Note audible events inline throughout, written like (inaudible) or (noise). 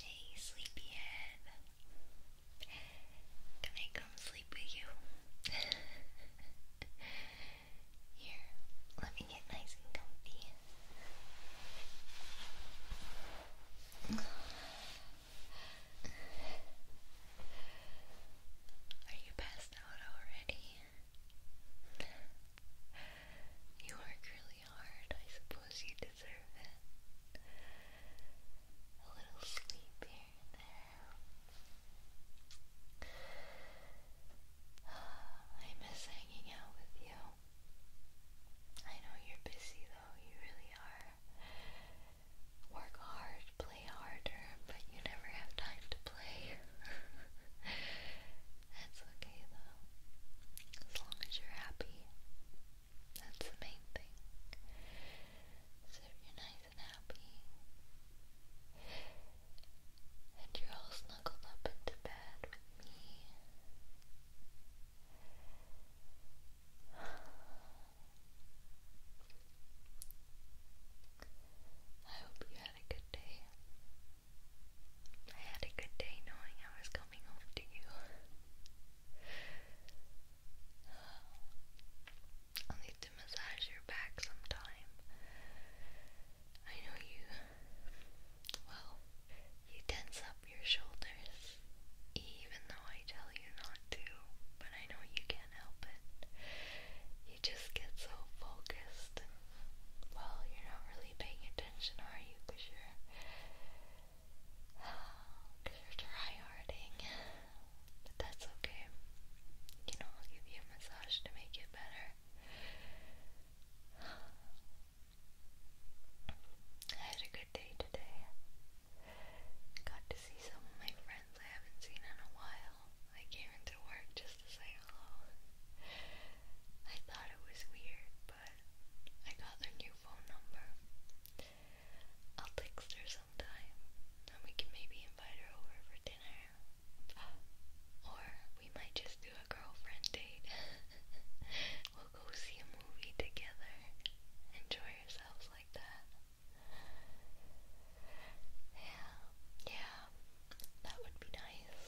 Hey, sleepyhead. Can I come sleep with you? (laughs) Here, let me get nice and comfy. Are you passed out already? You work really hard. I suppose you deserve it. A little sleep here there. (sighs) I miss hanging out with you. I know you're busy though, you really are. Work hard, play harder, but you never have time to play. (laughs) It's okay though. As long as you're happy. That's the main thing. So you're nice and happy. And you're all snuggled up into bed with me. I hope you had a good day. I had a good day knowing I was coming home to you. i (sighs) need to massage your back sometime. I know you, well, you tense up your shoulders, even though I tell you not to, but I know you can't help it you just get so focused. Well, you're not really paying attention, are you? Because you're, cause you're (sighs) But that's okay. You know, I'll give you a massage to make it better. (sighs) I had a good day today. Got to see some of my friends I haven't seen in a while. I came into work just to say hello. Oh, I thought it was weird, but I got their new phone number. I'll text her sometime, and we can maybe invite her over for dinner. Or we might just do a girlfriend date. (laughs) we'll go see a movie together. Enjoy ourselves like that. Yeah, yeah, that would be nice.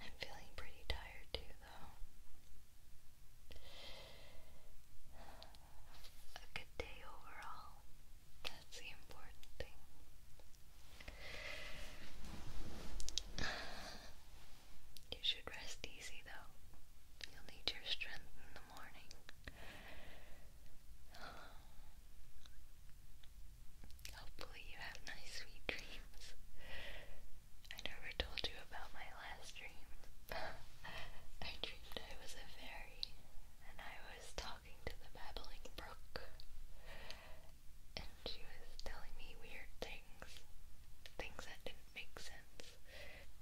I'm feeling pretty tired too, though. A good day overall. That's the important thing. You should rest easy, though. You'll need your strength morning. Hopefully, you have nice, sweet dreams. I never told you about my last dream. (laughs) I dreamed I was a fairy and I was talking to the babbling brook, and she was telling me weird things, things that didn't make sense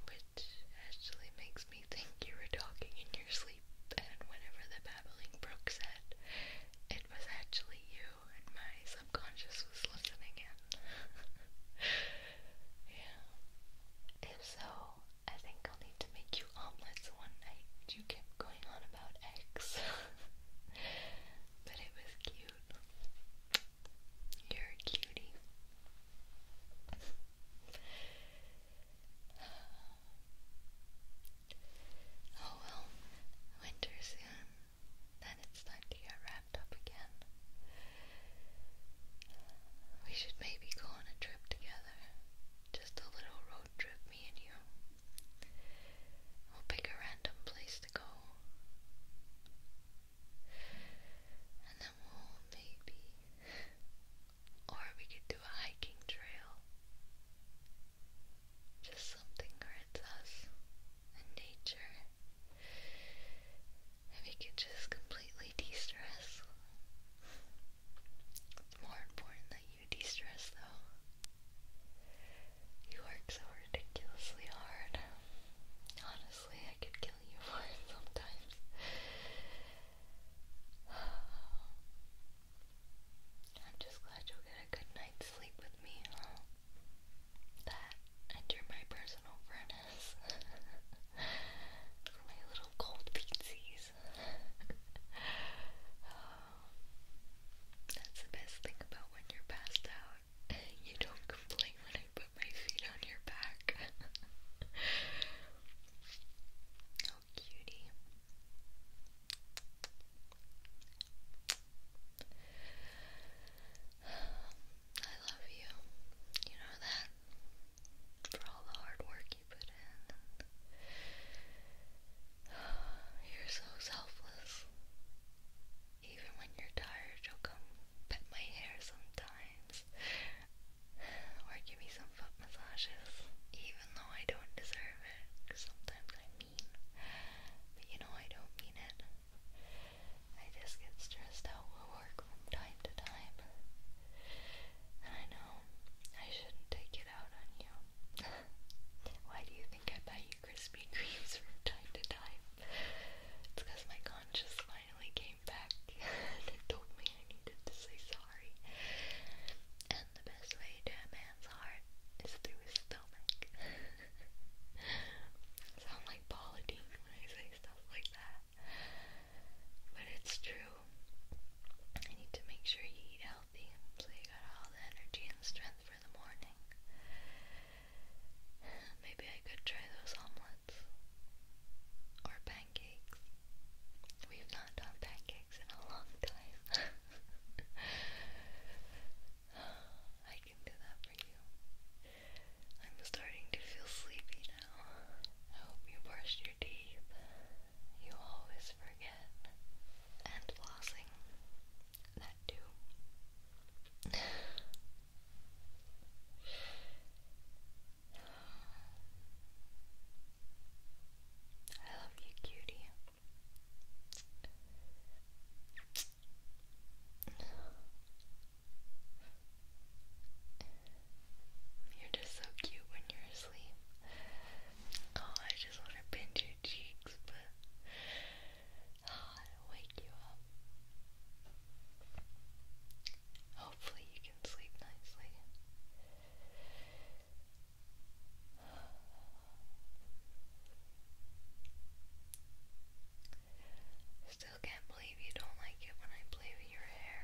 which actually makes me think you were talking in your sleep. And whenever the babbling brook said, it was actually you, and my subconscious was listening in. (laughs) yeah. If so, I think I'll need to make you omelets one night. You kept going on about eggs. (laughs) but it was cute. You're a cutie. Oh well, winter soon. Then it's time to get wrapped up again. We should maybe go on a trip together. Just a little road trip, me and you. We'll pick a random place to go and a mall maybe, or we could do a hiking trail. Just something where it's us and nature, and we could just completely de-stress. It's more important that you de-stress though. You work so ridiculously hard, honestly. I could kill you for it sometimes. (sighs) I'm just glad you get a good night's sleep with me. That, and you're my personal furnace. (laughs) my little cold pizzies. (sighs) that's the best thing about when you're passed out. (laughs) you don't complain when I my feet on your back. (laughs) Oh, cutie. I love you. You know that? For all the hard work you put in. (sighs) You're so selfless. Even when you're tired, you come pet my hair sometimes, or give me some foot massages, even though I don't deserve it. sometimes I mean, but you know I don't mean it. I just get stressed out with work from time to time, I know I shouldn't take it out on you. (laughs) Why do you think I buy you Krispy Kremes from time to time? It's because my conscience finally came came (laughs) told me I needed to say sorry. And the best way to a man's heart is through his stomach. (laughs) sound like Paula when I say stuff like that. But it's true. I need to make sure you eat healthy so you got all the energy and strength for the morning. (sighs) Maybe I could try those omelets or pancakes. We've not done pancakes in a long time. (laughs) I can do that for you. I'm starting to feel sleepy now. hope you brushed your teeth. You always forget. And flossing. That too. (laughs) I love you, cutie. You're just so cute when you're asleep. Oh, I just want to pinch your cheeks, but oh, i wake you up. Hopefully, you can sleep nicely. Still can't believe you don't like it when I play with your hair.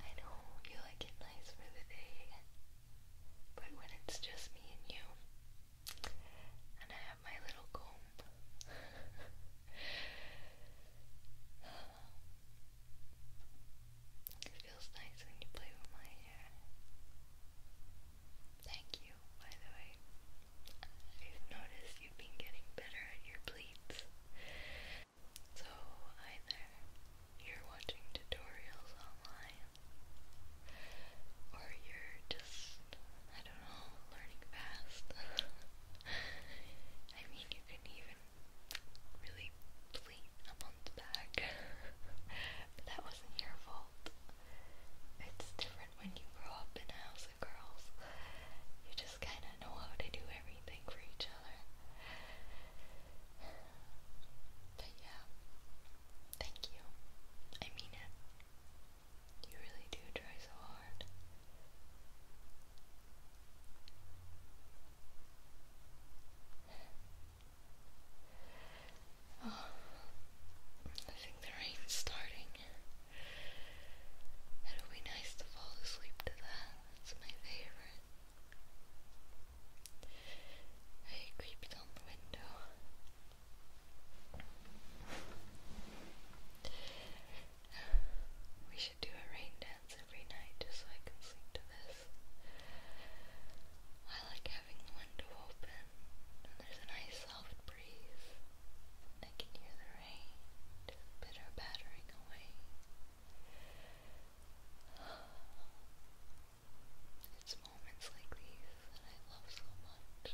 I know you like it nice for the day, but when it's just me and you, and I have my little comb. it feels nice when you play with my hair. Thank you, by the way. I've noticed you've been getting better at your pleats. So either you're watching tutorials online or you're I don't know, learning fast. (laughs) I mean, you can even really bleed a month back, (laughs) but that wasn't your fault. It's different when you grow up in a house of girls. You just kind of know how to do everything for each other. But yeah, thank you. I mean it. You really do try so hard. Oh, I think the rain's starting. It'll be nice to fall asleep to that. It's my favorite. I creeped on the window. We should do a rain dance every night just so I can sleep to this. I like having the window open and there's a nice soft breeze. I can hear the rain just bitter battering away moments like these that I love so much.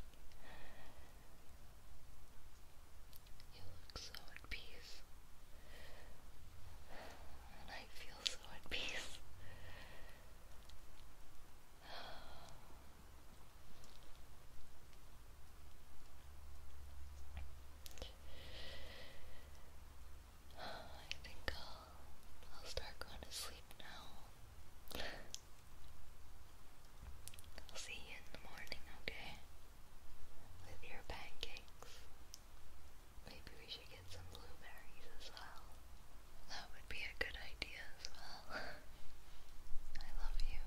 You look so at peace. And I feel so at peace. (sighs) I think I'll, start going to sleep now. I'll see you in the morning, okay? With your pancakes. Maybe we should get some blueberries as well. That would be a good idea as well. (laughs) I love you.